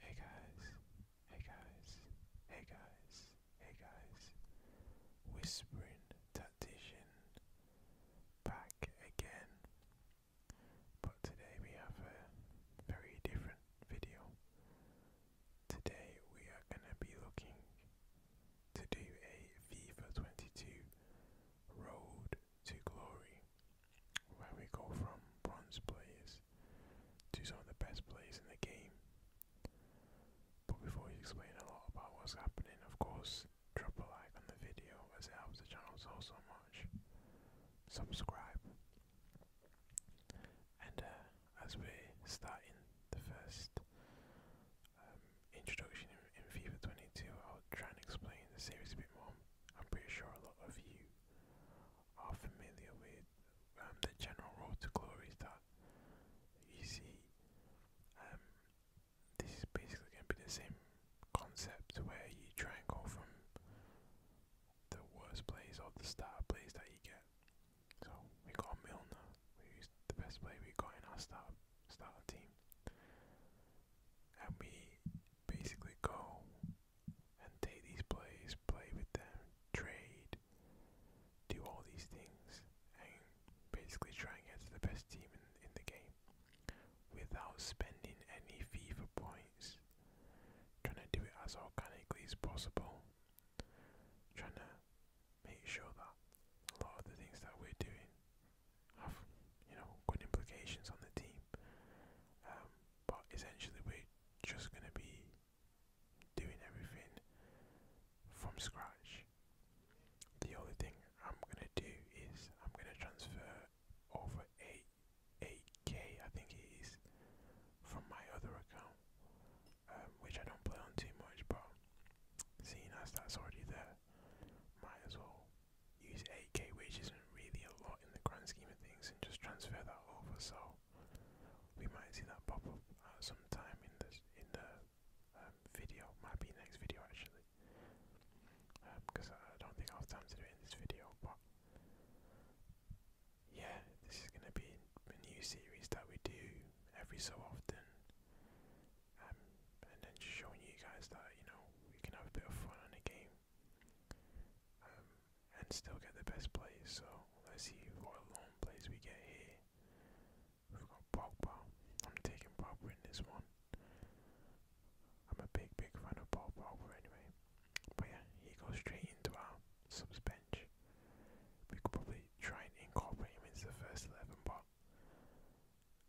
Hey guys, hey guys, hey guys, hey guys. Whispering Tactician back again. But today we have a very different video. Today we are going to be looking to do a FIFA 22 Road to Glory where we go from bronze players to some of the best players in the game. But before we explain a lot about what's happening, of course, drop a like on the video as it helps the channel so so much. Subscribe. And uh, as we're starting the first um, introduction in FIFA 22, I'll try and explain the series a bit more. I'm pretty sure a lot of you are familiar with um, the general road to glory is that you see, um, this is basically going to be the same concept where you try and go from the worst place or the start place that you get. So we got Milner, who's the best player we got in our start starter team, and we basically go and take these players, play with them, trade, do all these things, and basically try and get to the best team in, the game without spending any FIFA points. Trying to do it as organically as possible. Trying to make sure that a lot of the things that we're doing have, you know, good implications on the team. Um, but essentially we're just going to be doing everything from scratch. The only thing I'm going to do is I'm going to transfer over 8, 8k I think it is from my other account um, which I don't play on too much but seeing as that's already there might as well use 8k which isn't really a lot in the grand scheme of things and just transfer that over. So we might see that pop up at uh, some time in the in um, the video. Might be next video actually, because um, I don't think I have time to do in this video. But yeah, this is gonna be a new series that we do every so often, um, and then just showing you guys that you know we can have a bit of fun on the game um, and still get the best plays. So let's see what long plays we get here. We've got Pogba. I'm taking Pogba in this one. I'm a big, big fan of Paul Pogba anyway. But yeah, he goes straight into our subs bench. We could probably try and incorporate him into the first 11, but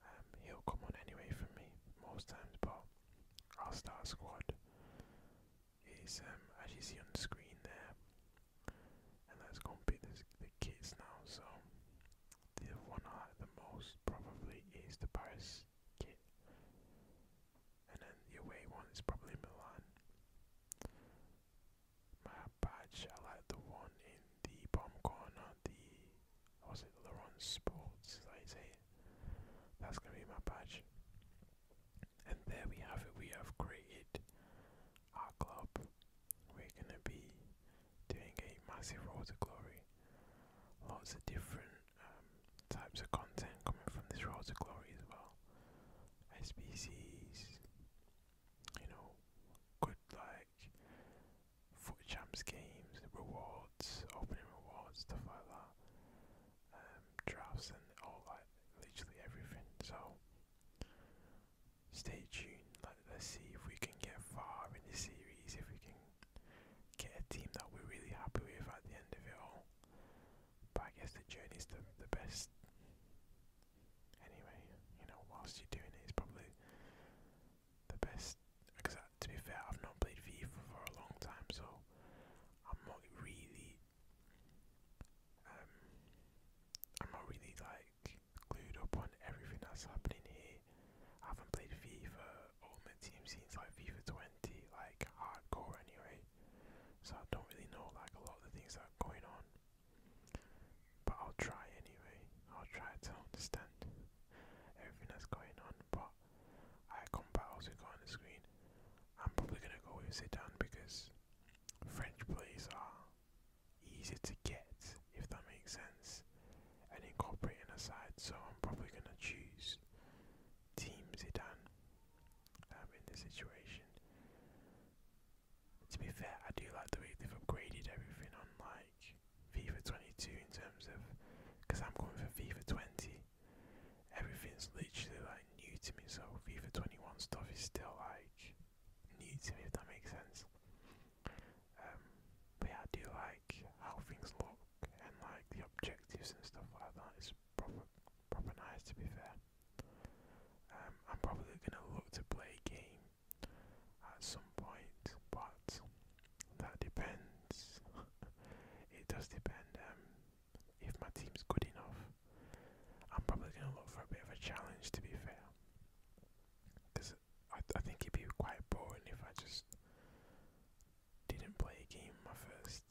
um, he'll come on anyway for me most times. But I'll start a squad is um, as you see on the screen there. And let's go and pick the kits now. So the one I like the most probably is the Paris kit, and then the away one is probably Milan. My badge, I like the one in the bomb corner. The was it Laurent Sports? That is it. That's gonna be my badge. And there we have it. We have created our club. We're gonna be doing a massive road glory. Lots of different um, types of content coming from this road glory as well. SBCs, you know, good like foot champs games, rewards, opening rewards, stuff like that um, drafts and all like literally everything. So stay tuned. Like, let's see if we can get far in the series. If we can get a team that we're really happy with at the end of it all. But I guess the journey's the the best. Anyway, you know, whilst you're doing it, it's probably the best. Because uh, to be fair, I've not played FIFA for a long time, so I'm not really um, I'm not really like glued up on everything that's happening here. I haven't played FIFA Ultimate Team since like FIFA 20, like hardcore anyway. So I don't really know like a lot of the things that are going on. But I'll try anyway. I'll try to understand everything that's going on. But icon battles we've got on the screen. I'm probably going to go with Zidane because French players are easy to get, if that makes sense, and incorporate in a side. So I'm probably going to choose Team Zidane um, in this situation. To be fair, I do like the way they've upgraded everything on like FIFA 22 in terms of because I'm going for FIFA 20 everything's literally like new to me. So FIFA 21 stuff is still like new to me, if that makes sense. Um, but yeah, I do like how things look and like the objectives and stuff like that. It's proper, proper nice to be fair. Um, I'm probably gonna look to play a game at some point, but that depends. it does depend. Um, if my team's good enough. I'm probably going to look for a bit of a challenge, to be fair. Because I, I think it'd be quite boring if I just didn't play a game in my first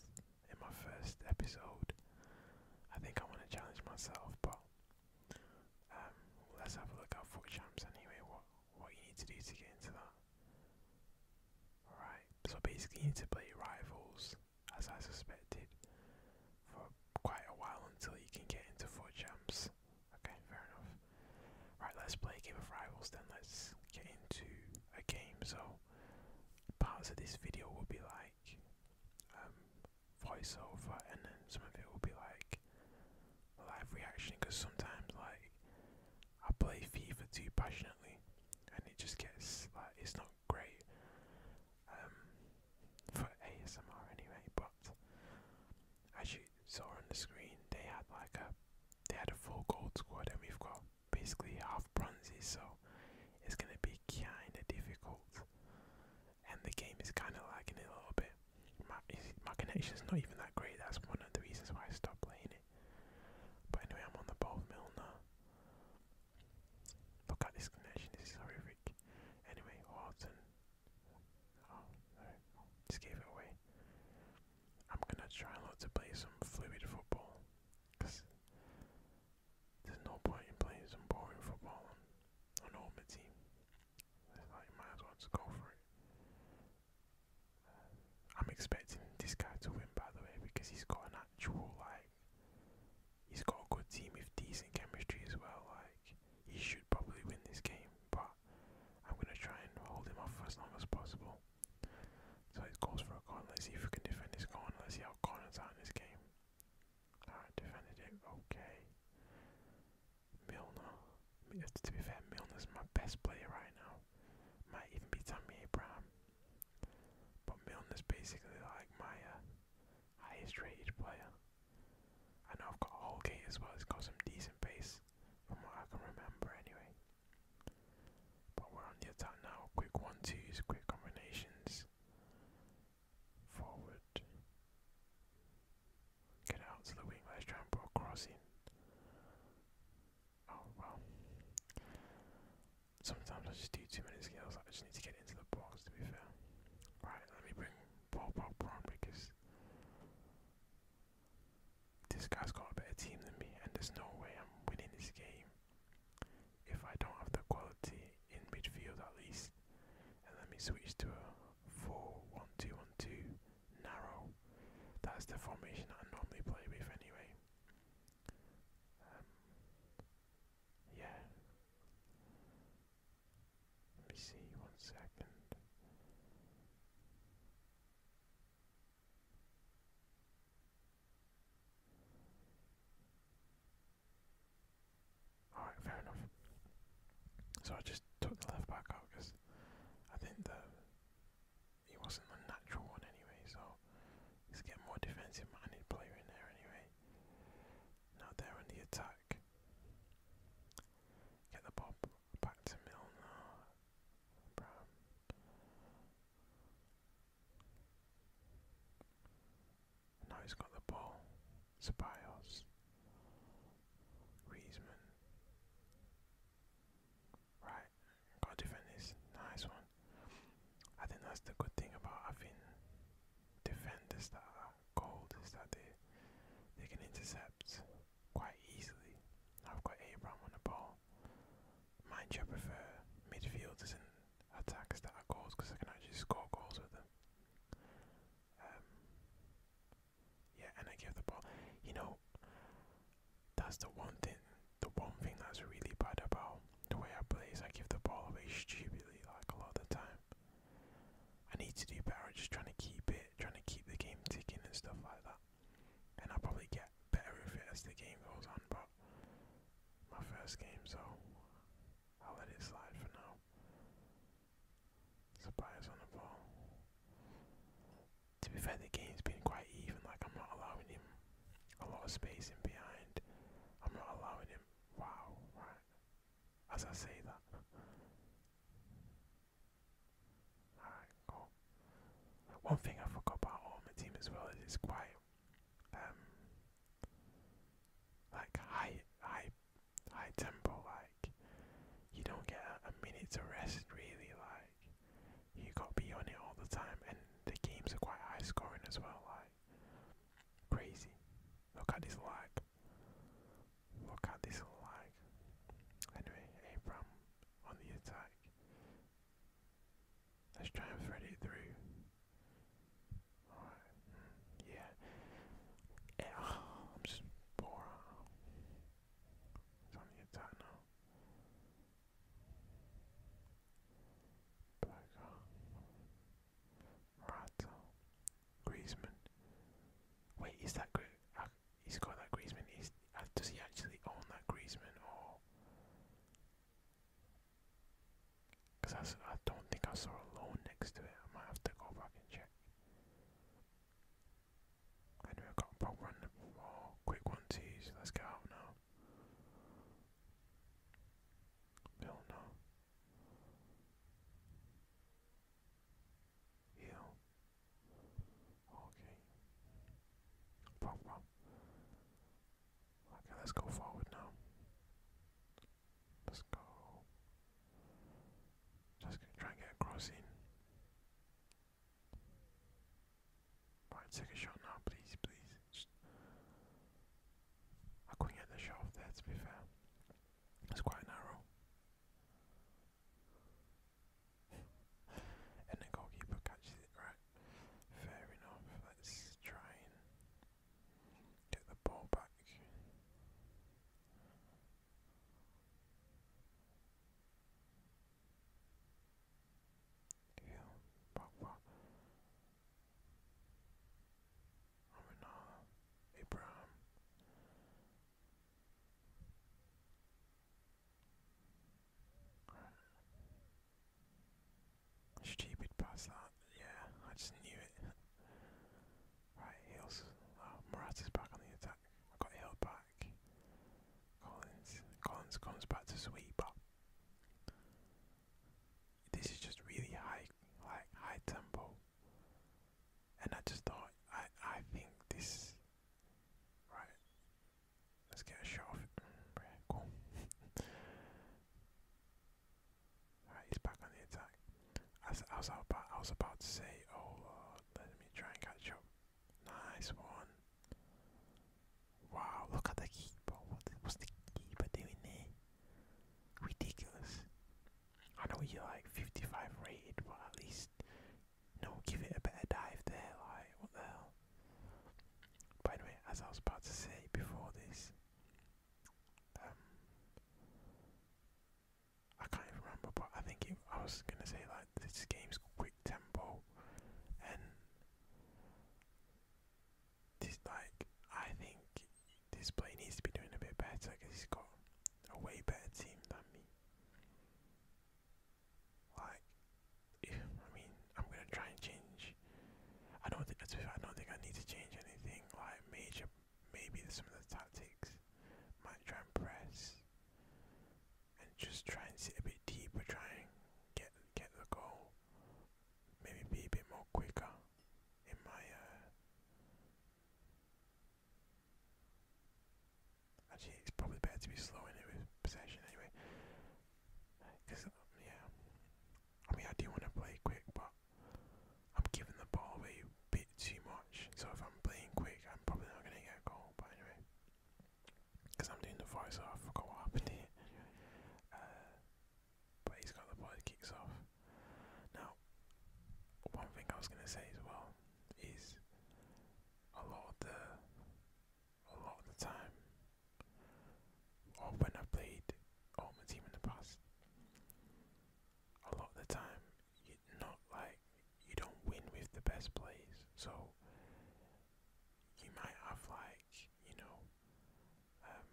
in my first episode. I think I want to challenge myself, but um, let's have a look at foot champs anyway. What what you need to do to get into that? Right, so basically you need to play rivals, as I suspected, for quite a while until you can get into four champs. Okay, fair enough. Right, let's play a game of rivals then, let's get into a game. So, parts of this video will be like um, voiceover, and then some of it will be like live reaction, because sometimes, like, I play FIFA too passionately, and it just gets like it's not great um, for ASMR anyway. But as you saw on the screen, they had like a they had a full gold squad, and we've got basically half bronzes, so it's gonna be kind of difficult. And the game is kind of lagging a little bit. My, my connection's not even that great. That's one of the reasons why I stopped playing it. But anyway, I'm on the ball mill now. Look at this connection, this is horrific. Anyway, Horton. Oh, Just gave it away. I'm gonna try not to play some fluid football. Because there's no point in playing some boring football on, on all my team. might as well just go for it. I'm expecting this guy to win, by the way, because he's got an actual like. He's got a good team with decent chemistry as well. Like he should probably win this game, but I'm gonna try and hold him off as long as possible. So he calls for a corner. Let's see if we can defend this corner. Let's see how corners are in this game. Alright, defended it. Okay. Milner. To be fair, Milner's my best player right now. Might even be Tammy Abraham. But Milner's basically like my uh, highest rated player. I know I've got Holgate as well, he's got some decent pace from what I can remember anyway. But we're on the attack now, quick one twos, quick combinations. Forward. Get out to the wing, let's try and put a cross in. Oh well. Sometimes I just do too many skills. I just need to get into the box. To be fair. Right. Let me bring Paul Pogba because this guy's got a better team than me, and there's no way I'm winning this game if I don't have the quality in midfield at least. And let me switch to a 4 narrow. That's the formation I normally play with anyway. Um, yeah. Let me see one second. Alright, fair enough. So I just took the left back out because I think the he wasn't a natural one anyway, so he's getting more defensive minded player in there anyway. Now they're on the attack. Get the ball back to Milner. Now he's got the ball. Ceballos. Griezmann. Right, got defend Nice one. I think that's the good thing about having defenders that are gold is that they they can intercept quite easily. I've got Abraham on the ball. Mind you, I prefer midfielders and attacks that are goals because I can actually score goals with them. Um, yeah, and I give the ball. You know, that's the one thing the one thing that's really bad about the way I play is I give the ball away stupidly like a lot of the time. I need to do better at just trying to keep it, trying to keep the game ticking and stuff like that. And I'll probably get better with it as the game goes on, but my first game, so I'll let it slide for now. Surprise on the ball to be fair, the game's been quite even. Like I'm not allowing him a lot of space in behind. I'm not allowing him. Wow, right. As I say that. Alright, cool. One thing I forgot about on my team as well is it's quite um like high high high tempo, like you don't get a minute to rest really, like you got to be on it all the time, and the games are quite high scoring as well. Like crazy. Look at this like. Look at this like. Anyway, Abram on the attack. Let's try and thread it through. Alright, mm, yeah. Eh, I'm just bored. He's on the Griezmann. Wait, is that uh, He's got that Griezmann. Uh, does he actually own that Griezmann or? Because I, I don't think I saw a loan next to it. I might have to go back and check. Anyway, I've got about one more quick one to Let's get out now. Bill, no. Heal. Okay. Pop, pop. Okay, let's go forward now. Let's go. Just try and get a crossing. Right, take a shot now, please, please. I couldn't get the shot off there, to be fair. It's quite narrow. and the goalkeeper catches it, right? Fair enough. Let's try and get the ball back. Yeah, fuck, fuck. I mean, Stupid past that. Yeah, I just knew it. right, Hills. Oh, Morata's back on the attack. I got held by back. Collins, Collins back to sweep up. This is just really high, like high tempo, and I just thought, I, I think this, right? Let's get a shot of it. Mm, cool. Alright, he's back on the attack. I was about, I was about to say, oh, uh, let me try and catch up. Nice one. Wow, look at the keeper. What the, the keeper doing there? Ridiculous. I know you're like 55 rated, but at least, you give it a better dive there. Like, what the hell? By the as I was about to say before this, um, I can't even remember, but I think it, I was gonna say like this game's quick tempo and this like I think this player needs to be doing a bit better because he's got a way better team than me. Like, I mean, I'm gonna try and change. I don't think I don't think I need to change anything. Like major, maybe some of the tactics. Might try and press and just try and sit a bit deeper, trying and get get the goal. Maybe be a bit more quicker in my uh, Actually, it's probably better to be slow in it with possession anyway. Because, um, yeah. I mean, I do want to play quick, but I'm giving the ball away a bit too much. So if I'm playing quick, I'm probably not going to get a goal. But anyway because I'm doing the voice, so I forgot what happened here. Uh, but he's got the body kicks off. Now, one thing I was gonna say as well is a lot of the a lot of the time, or when I played Ultimate Team in the past, a lot of the time, not like you don't win with the best plays, so you might have like you know um,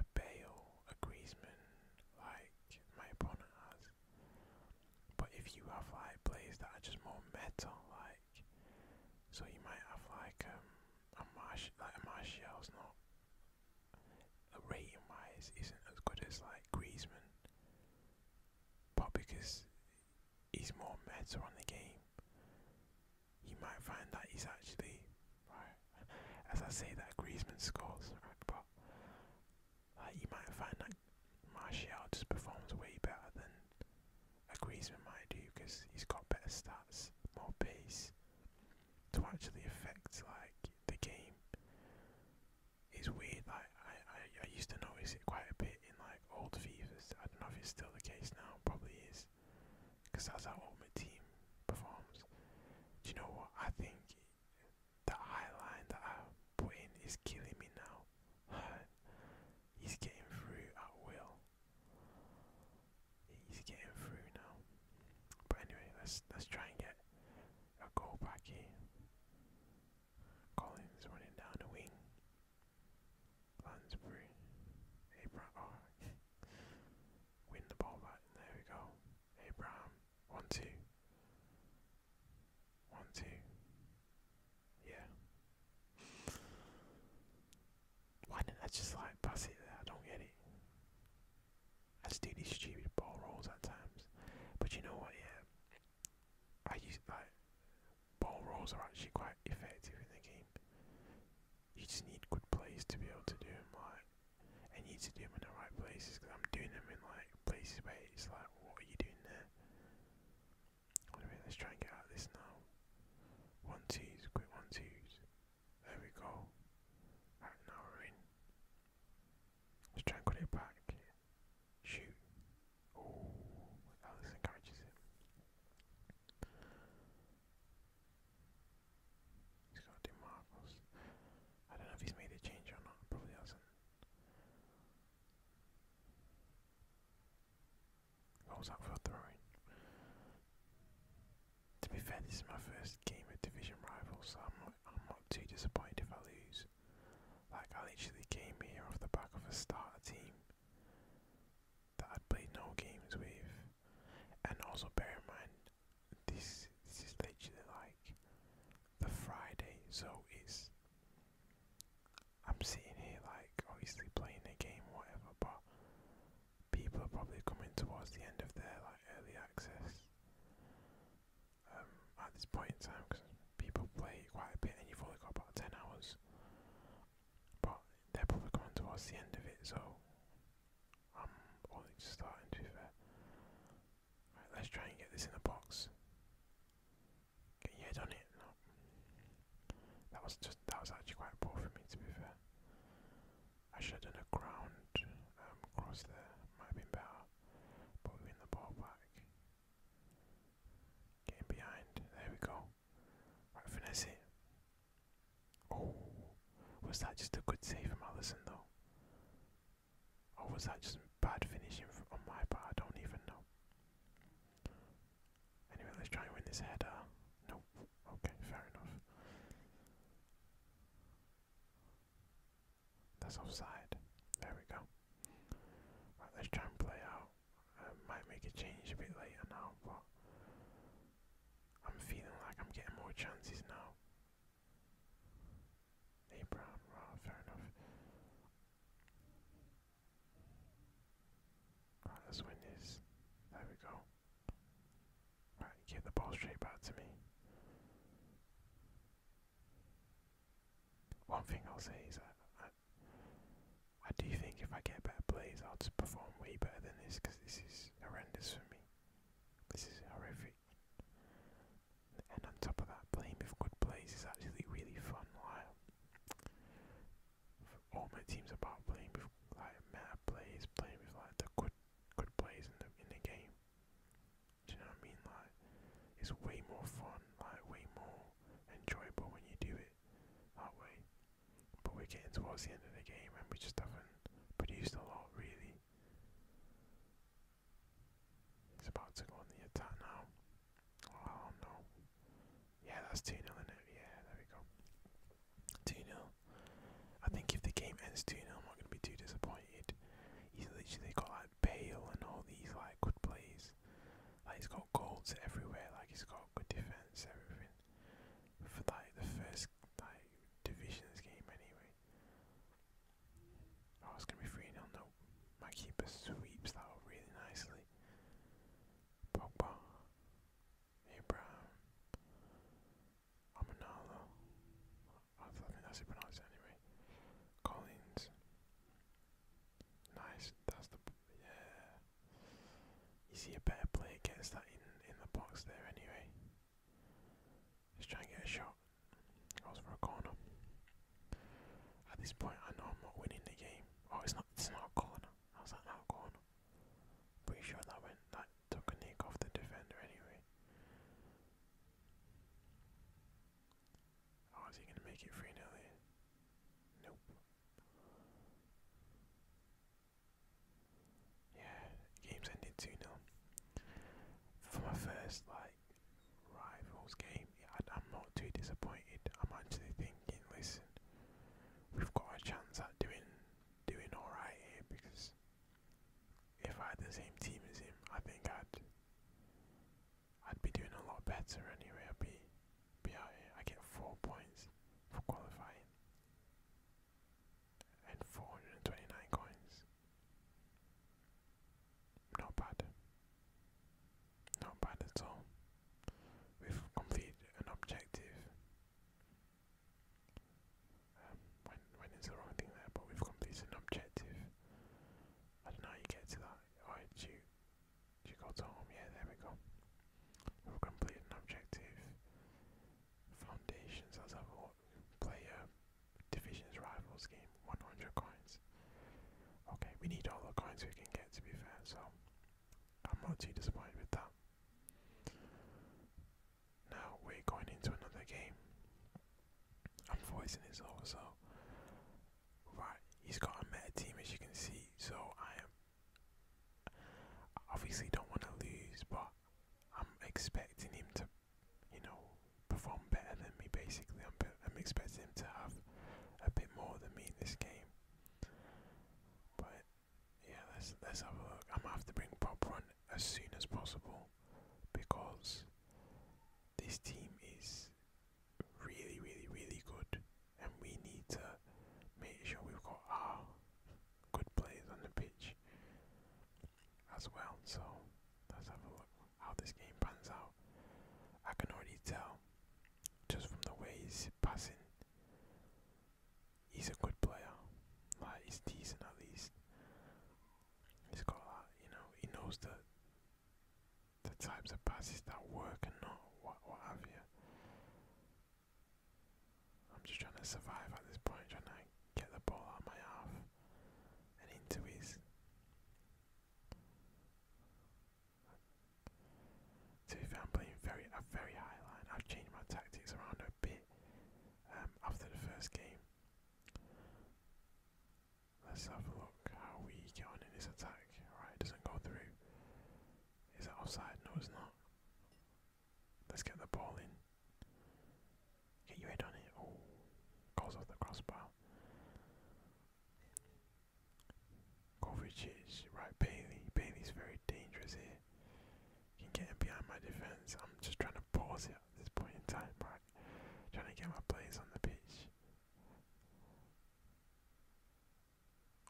a Bale, a Griezmann, like my opponent has. But if you have like players that are just more meta, like so you might have like um, a Marsh, like a Martial's not a rating wise isn't as good as like Griezmann, but because he's more meta on the game, you might find that he's actually right. As I say that Griezmann scores, right, but like you might find that Martial just performs way better than a Griezmann might do because he's got better stats, more pace to actually affect like the game it's weird. Like I, I, used to notice it quite a bit in like old fevers. I don't know if it's still the case now. Probably is, because that's how Ultimate Team performs. Do you know what? I think the high line that I put in is killing me now. He's getting through at will. He's getting through now. But anyway, let's let's try and get a goal back here. Collins running down the wing. Lansbury. Abraham. Oh. Win the ball back. There we go. Abraham. One, two. One, two. Yeah. Why didn't I just like pass it there? I don't get it. I just do these stupid ball rolls at times. But you know what, yeah. I use like ball rolls are actually quite effective in the game. You just need good plays to be able to do them. Like I need to do them in the right places because I'm doing them in like places where it's like, what are you doing there? Anyway, let's try and get out of this now. One twos, quick one twos. There we go. Right now we're in. Let's try and cut it back. Shoot. Oh, oh encourages it. He's got to do marbles. I don't know if he's made a change or not, probably hasn't. What was for throwing? To be fair, this is my first game of Division Rivals, so I'm not too disappointed if I lose. Like, I literally came here off the back of a starter team that I'd played no games with. And also, bear in mind, this, this is literally like the Friday, so it's. I'm sitting here, like, obviously playing a game or whatever, but people are probably coming towards the end of their, like, early access at this point in time because people play quite a bit and you've only got about 10 hours. But they're probably coming towards the end of it, so I'm only just starting to be fair. let's try and get this in the box. Get your head on it. That was just that was actually quite poor for me to be fair. I should have done a ground um, there, might have been better. But we're the ball back. Getting behind. There we go. Right, finesse it. Oh, was that just a good save from Allison though? Or was that just bad finishing on my part? I don't even know. Anyway, let's try and win this header. Nope. Okay, fair enough. That's offside. There we go. Right, let's try and play out. might make a change a bit later now, but I'm feeling like I'm getting more chances now. Hey Brown, fair enough. Right, let's win this. There we go. Right, get the ball straight back to me. One thing I'll say is I do think if I get better plays, I'll just perform way better than this because this is horrendous for me. This is horrific. And on top of that, playing with good plays is actually really fun. Like, all my teams are about playing with like mad plays, playing with like the good good plays in the in the game. Do you know what I mean? Like, it's way more fun, like way more enjoyable when you do it that way. But we're getting towards the end of the game, and we just haven't produced a lot, really. It's about to go on the attack now. Oh no. Yeah, that's 2 0 Yeah, there we go. 2 0. I think if the game ends 2 0, I'm not going to be too disappointed. He's literally got like Bale and all these like good plays. Like he's got goals everywhere. Like he's got good defense, everything. For like the first like divisions game, anyway. Oh, it's gonna be three 0 No, my keeper sweeps that really nicely. Pogba, Abraham, Amanala. I think that's it pronounced anyway. Collins, Nice. That's the yeah. You see a better player gets that in in the box there anyway. Let's try and get a shot. Goes for a corner. At this point, I know I'm not winning the game. Oh, it's not. It's not a corner. How's that not a corner? Pretty sure that went. That took a nick off the defender anyway. Oh, is he gonna make it free Nelly? Nope. Yeah, game's ended 2 0. For my first, like, rivals game, yeah, I'm not too disappointed. I'm actually thinking, listen, we've got a chance at doing doing alright here because if I had the same team as him, I think I'd I'd be doing a lot better anyway. I'd be, be I get four points for qualifying and 429 coins. Not bad. Not bad at all. We've completed an objective. Um, when when is the wrong thing there? But we've completed an objective. I don't know how you get to that. Alright, you, you got home, yeah, there we go. We've completed an objective. Foundations, as a player, divisions, rivals game, 100 coins. Okay, we need all the coins we can get to be fair, so I'm not too disappointed with that. Now we're going into another game. I'm voicing this over, so Right, he's got a meta team as you can see, so I am obviously don't want to lose, but I'm expecting him to, you know, perform better than me. Basically, I'm I'm expecting him to have a bit more than me in this game. But yeah, let's let's have a look. I'm gonna have to bring Bob Run as soon as possible because this team is really, really, really good, and we need to make sure we've got our good players on the pitch as well. So let's have a look how this game pans out. I can already tell just from the ways he's passing. He's a good player. Like he's decent at least. He's got that, you know. He knows the the types of passes that work and not what what have you. I'm just trying to survive at this point, trying to get the ball out my half and into his. To be I'm playing very a very high line. I've changed my tactics around a bit um, after the first game. Let's have a look how we get on in this attack. right? it doesn't go through. Is it offside? No, it's not. Let's get the ball in. Get your head on it. Oh, cause of the crossbar. Kovacic, right, Bailey. Bailey's very dangerous here. He can behind my defence. I'm just trying to pause it at this point in time, right? Trying to get my players on the pitch.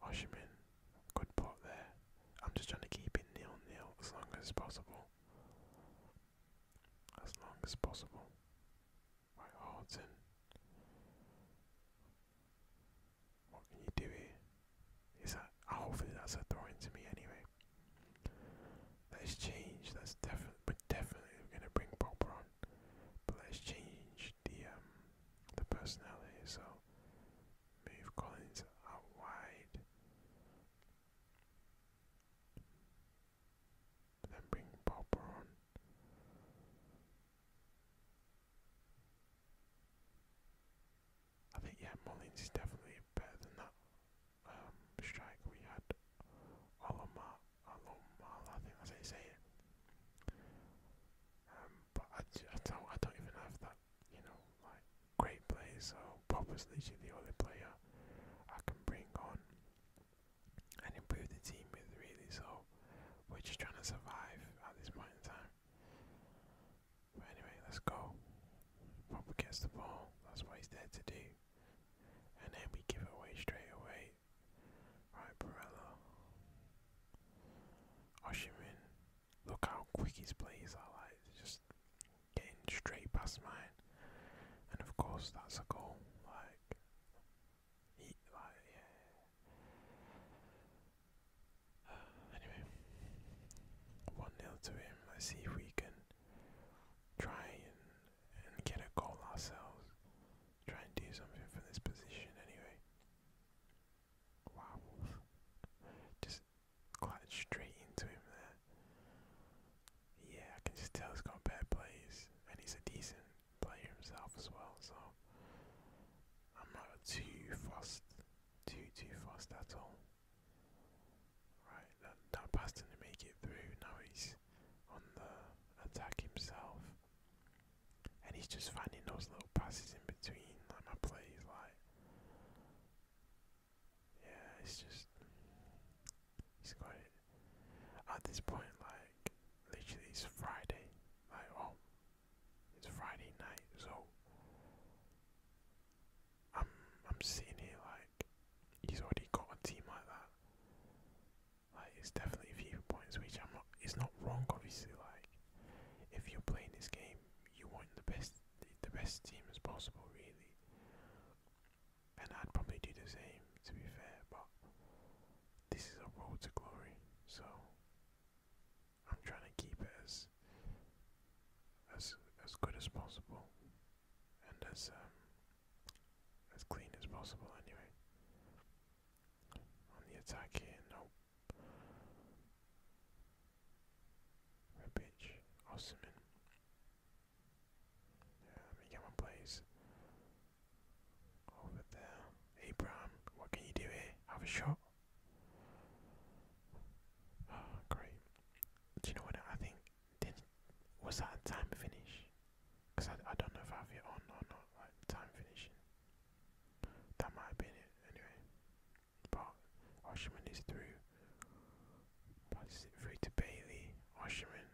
Oshiman, good pot there. I'm just trying to keep it nil nil as long as possible. As long as possible. Right, Horton. What can you do here? Is that hopefully that's a throw into me anyway. Let's that's definitely definitely gonna bring Popper on. But let's change the um, the personality. So move Collins out wide. Then bring Popper on. I think yeah, Mullins is definitely better than that um, strike we had. Olomar um, I don't, I don't even have that, you know, like great player, so Popper's literally the only player I can bring on and improve the team with, really. So we're just trying to survive at this point in time. But anyway, let's go. Popper gets the ball, that's what he's there to do. And then we give it away straight away. Right, Barella. Oshimin. Look how quick his plays are like, just getting straight past mine. And of course that's a goal, like he like yeah. anyway. One nil to him, let's see if we can try and and get a goal ourselves. Try and do something from this position anyway. Wow. just quite straight into him there. Yeah, I can just tell he's got bad plays, and he's a decent player himself as well, so I'm not too fussed, too, too fussed at all. Right, that, that pass didn't make it through, now he's he's on the attack himself. And he's just finding those little passes in between, like my plays, like yeah, it's just he's got it. At this point, like literally, it's Friday, like oh, it's Friday night, so I'm I'm sitting here like he's already got a team like that, like it's definitely a few points, which I'm not. It's not wrong, obviously. Like if you're playing this game, you want the best, the, best team as possible, really. And I'd probably do the same, to be fair. But this is a road to glory, so I'm trying to keep it as as as good as possible and as um, as clean as possible. Anyway, on the attack here, nope. Rebic, Osman. Yeah, let me get my plays. Over there. Abraham, what can you do here? Have a shot. great. Do you know what? I think did was that a time finish? Cause I, I don't know if I have it on or not. Like time finishing. That might have been it anyway. But Oshiman is through. Passes it through to Bailey. Oshiman.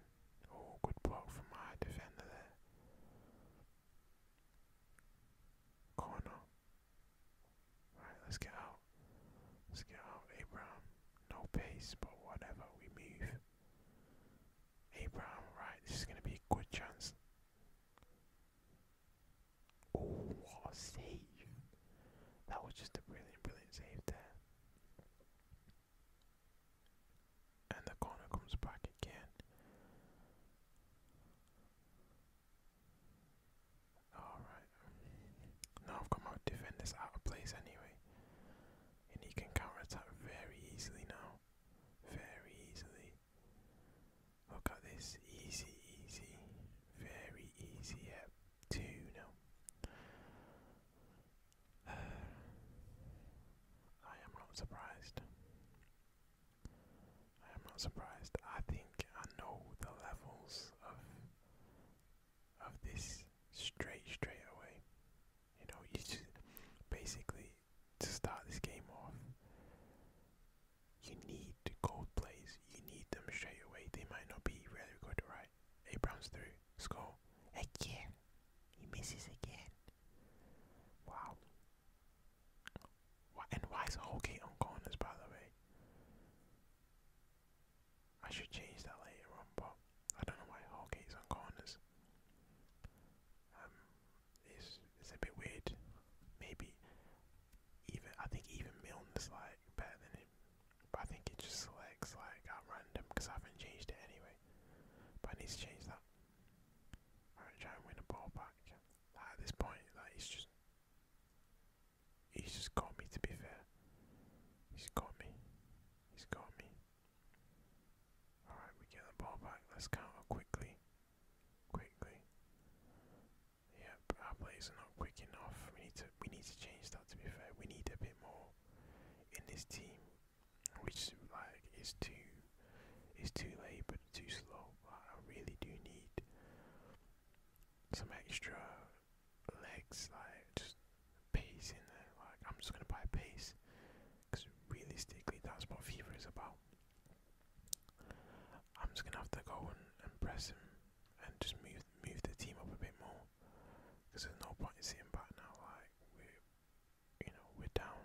Oh, good block from my defender there. Corner. Right, let's get out. Let's get out, Abraham. No pace, but whatever, we move. Abraham, right, this is going to be a good chance. Oh, what save! That was just a brilliant, brilliant save there. And the corner comes back again. Alright. Now I've got my defenders out of place anyway and he can counter attack very easily now. Very easily. Look at this. Easy, easy. Very easy. Yep. Two now. Uh, I am not surprised. I am not surprised. I think I know the levels of of this straight, straight away. You know, you just basically to start this game off, you need the gold plays. You need them straight away. They might not be very good, right? Abrams through. Score. Again. He misses again. Wow. Why, and why is Holgate on corners, by the way? I should change that later on, but I don't know why Hallgate's on corners. Um, it's it's a bit weird. Maybe even I think even Milne's like better than him, but I think it just selects like at random because I haven't changed it anyway. But I need to change that. Alright, try and win a ball back. At this point, like he's just he's just got me. To be fair, he's got me. He's got me. Alright, we get the ball back. Let's counter quickly. Quickly. Yep, our players are not quick enough. We need to we need to change that to be fair. We need a bit more in this team. Which like is too is too laboured, too slow. I really do need some extra legs, like pace in there. Like, I'm just going to buy pace. Because realistically, that's what fever is about. I'm just going to have to go and, and press him and just move move the team up a bit more. Because there's no point in sitting back now. Like, we're, you know, we're down.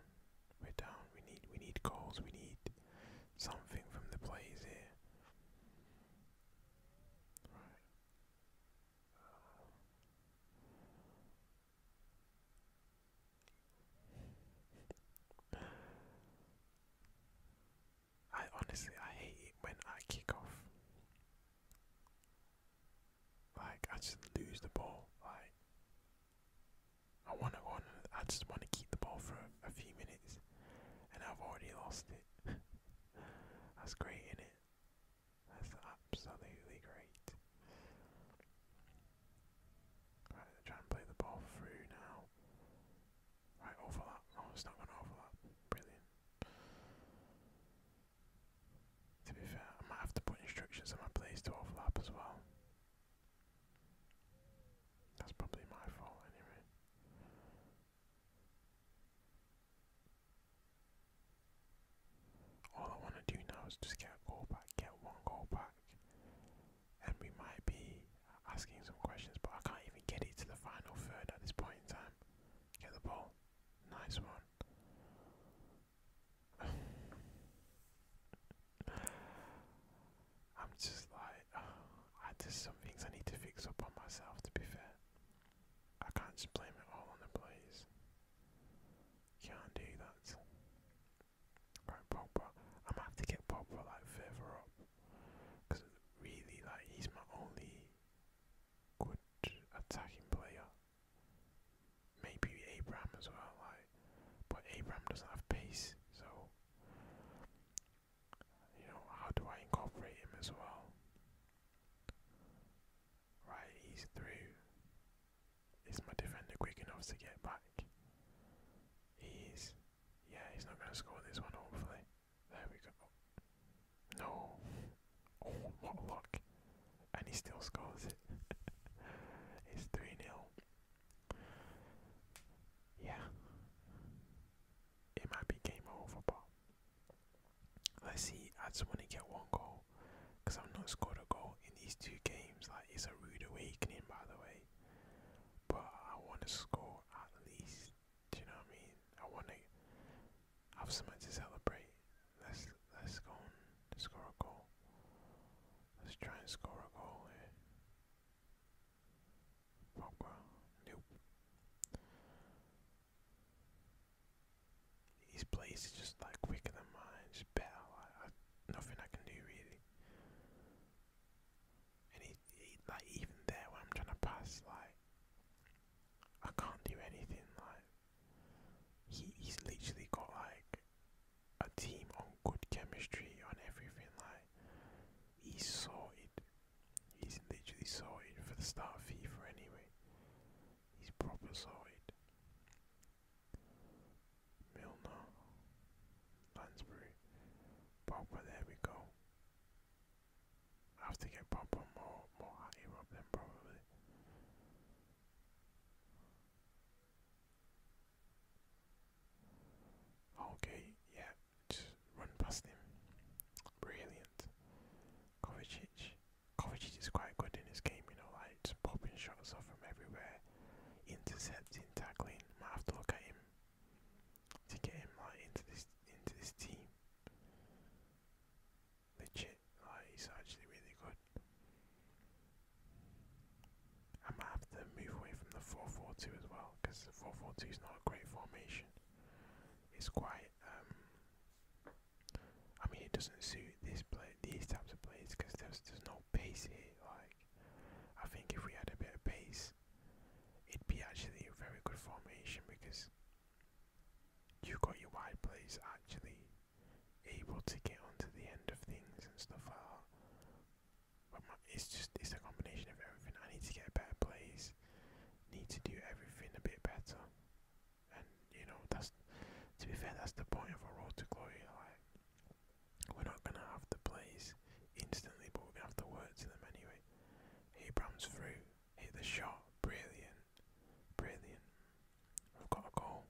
We're down. We need, we need goals. We need something from the players here. Right. I honestly I hate it when I kick off. Like I just lose the ball. Like I want to I just want to keep the ball for a, a few minutes, and I've already lost it. That's great, isn't it? That's absolutely great. Right, they're play the ball through now. Right, overlap. Oh, it's not going to overlap. Brilliant. To be fair, I might have to put instructions on my plays to overlap as well. That's probably my fault anyway. All I want to do now is just get a goal back, get one goal back, and we might be asking some questions, but I can't even get it to the final third at this point in time. Get the ball. Nice one. I'm just like, uh, I, there's some things I need to fix up on myself, to be fair. I can't just blame it all on the players. Can't do that. Right, Pogba. I'm gonna have to get Pogba like further up, because really, like, he's my only good attacking player. Maybe Abram as well, like, but Abraham doesn't have pace, so you know, how do I incorporate him as well? Right, he's through. Is my defender quick enough to get back? He's, Yeah, he's not going to score this one, hopefully. There we go. No. Oh, what luck. And he still scores it. it's 3 0. Yeah. It might be game over, but Let's see. I just want to get one goal because I've not scored a goal in these two games. Like it's a rude awakening, by the way. But I want to score at least. Do you know what I mean? I want to have someone to celebrate. Let's let's go and score a goal. Let's try and score a goal here. nope. These places just like quicker than mine, just battle. I, nothing I can do really. And he, like even there when I'm trying to pass, like I can't do anything. Like he, he's literally got like a team on good chemistry on everything. Like he's sorted. He's literally sorted for the start of FIFA anyway his proper side. Milner, Lansbury, Pogba, there we go. have to get Pogba more, more higher up then probably. Okay, yeah, just run past him. Brilliant. Kovacic, Kovacic is quite good in this game, you know, like popping shots off from everywhere, intercepting, tackling. I have to look at him to get him like into this into this team. Legit, like he's actually really good. I might have to move away from the 4-4-2 as well, because the 4-4-2 is not a great formation. It's quite um, I mean, it doesn't suit this play, these types of plays, because there's there's no pace here. Like, I think if we had a bit of pace, it'd be actually a very good formation because you've got your wide players actually able to get onto the end of things and stuff like But it's just it's a combination of everything. I need to get better plays, need to do everything a bit better and you know that's to be fair that's the point of a road to glory. Like we're not gonna have the plays instantly, but we have the words in them anyway. Abrams through, hit the shot, brilliant, brilliant. I've got a goal.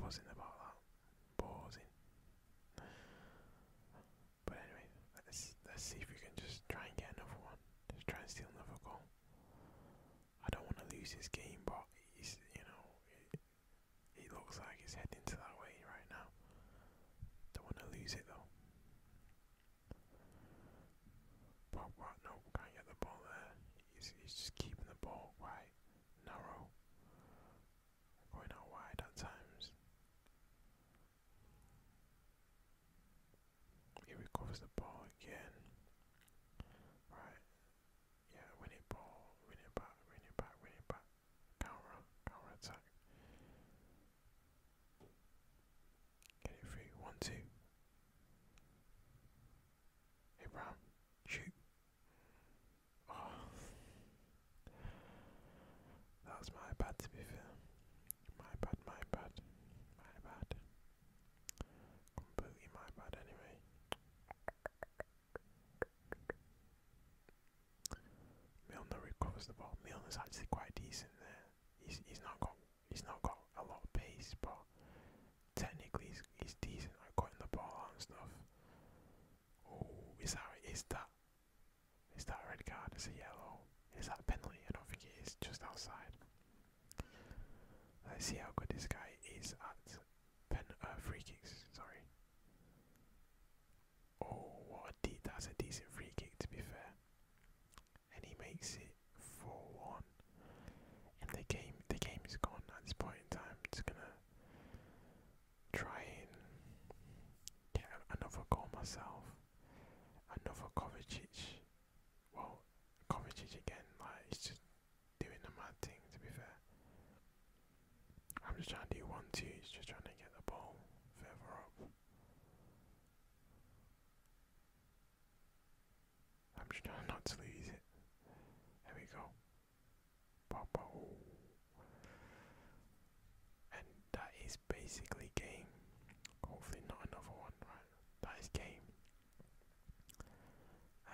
Buzzing about that, buzzing. But anyway, let's let's see if we can just try and get another one. Just try and steal another goal. I don't want to lose this game, but he's, you know, it, looks like he's heading to that way right now. Don't want to lose it though. But what? No, can't get the ball there. He's, he's just keeping the ball wide, narrow, going out wide at times. He recovers the ball again. Right. Yeah, win ball, win it back, win it back, win it back. Counter, counter attack. Get it free. One, two. Abraham, shoot. Oh. That was my bad to be fair. My bad, my bad, my bad. Completely my bad anyway. Milner recovers the ball. Milner's actually quite decent there. He's he's not got he's not got a lot of pace, but technically he's, he's decent at cutting the ball and stuff. Oh, is that is that is that red card? Is a yellow? Is that a penalty? I don't think it is. Just outside. Let's see how good this guy is at pen uh, free kicks. Sorry. Oh, what a de that's a decent free kick to be fair. And he makes it for one. And the game the game is gone at this point in time. Just gonna try and get another goal myself. Another Kovacic well, Kovacic again, like he's just doing the mad thing. To be fair, I'm just trying to do one two. He's just trying to get the ball further up. I'm just trying not to lose it. There we go. Papa. Oh. And that is basically game. Hopefully not another one, right? man, that is game.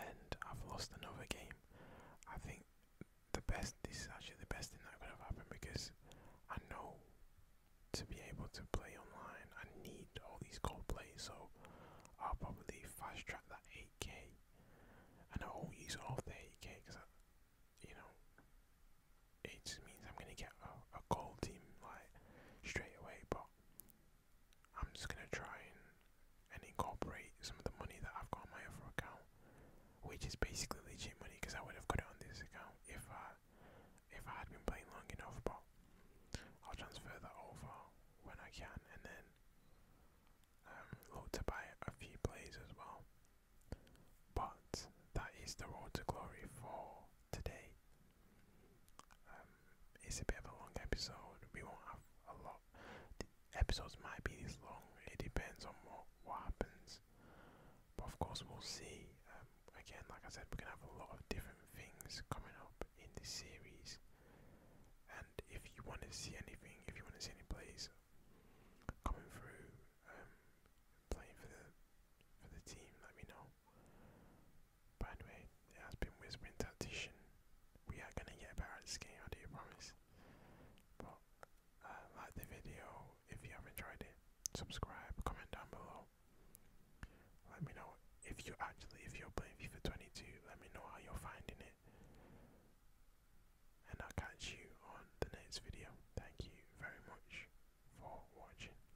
And I've lost another game. I think the best, this is actually the best thing that could have happened because I know to be able to play online, I need all these gold plays, so I'll probably fast track that 8k. And I won't use all the 8k because, you know, it just means I'm gonna get a, a gold team like straight away. But I'm just gonna try and, and incorporate some of the money that I've got on my other account, which is basically legit money because I would have got it on this account if I if I had been playing long enough. But I'll transfer that over when I can, and then um, look to buy a few plays as well. But that is the road to glory for today. Um, it's a bit of a long episode. We won't have a lot. The episodes might be this long. It depends on what what happens. But of course, we'll see. Um, again, like I said, we're gonna have a lot of different things coming up in this series. And if you want to see anything, if you want to see any plays coming through, um, playing for the for the team, let me know. By the it has been whispering tactician. We are gonna get better at skiing. I do promise. But uh, like the video if you have enjoyed it. Subscribe, comment down below. Let me know if you actually if you're playing FIFA 22. Let me know how you're finding it. And I'll catch you on the next video. Thank you very much for watching.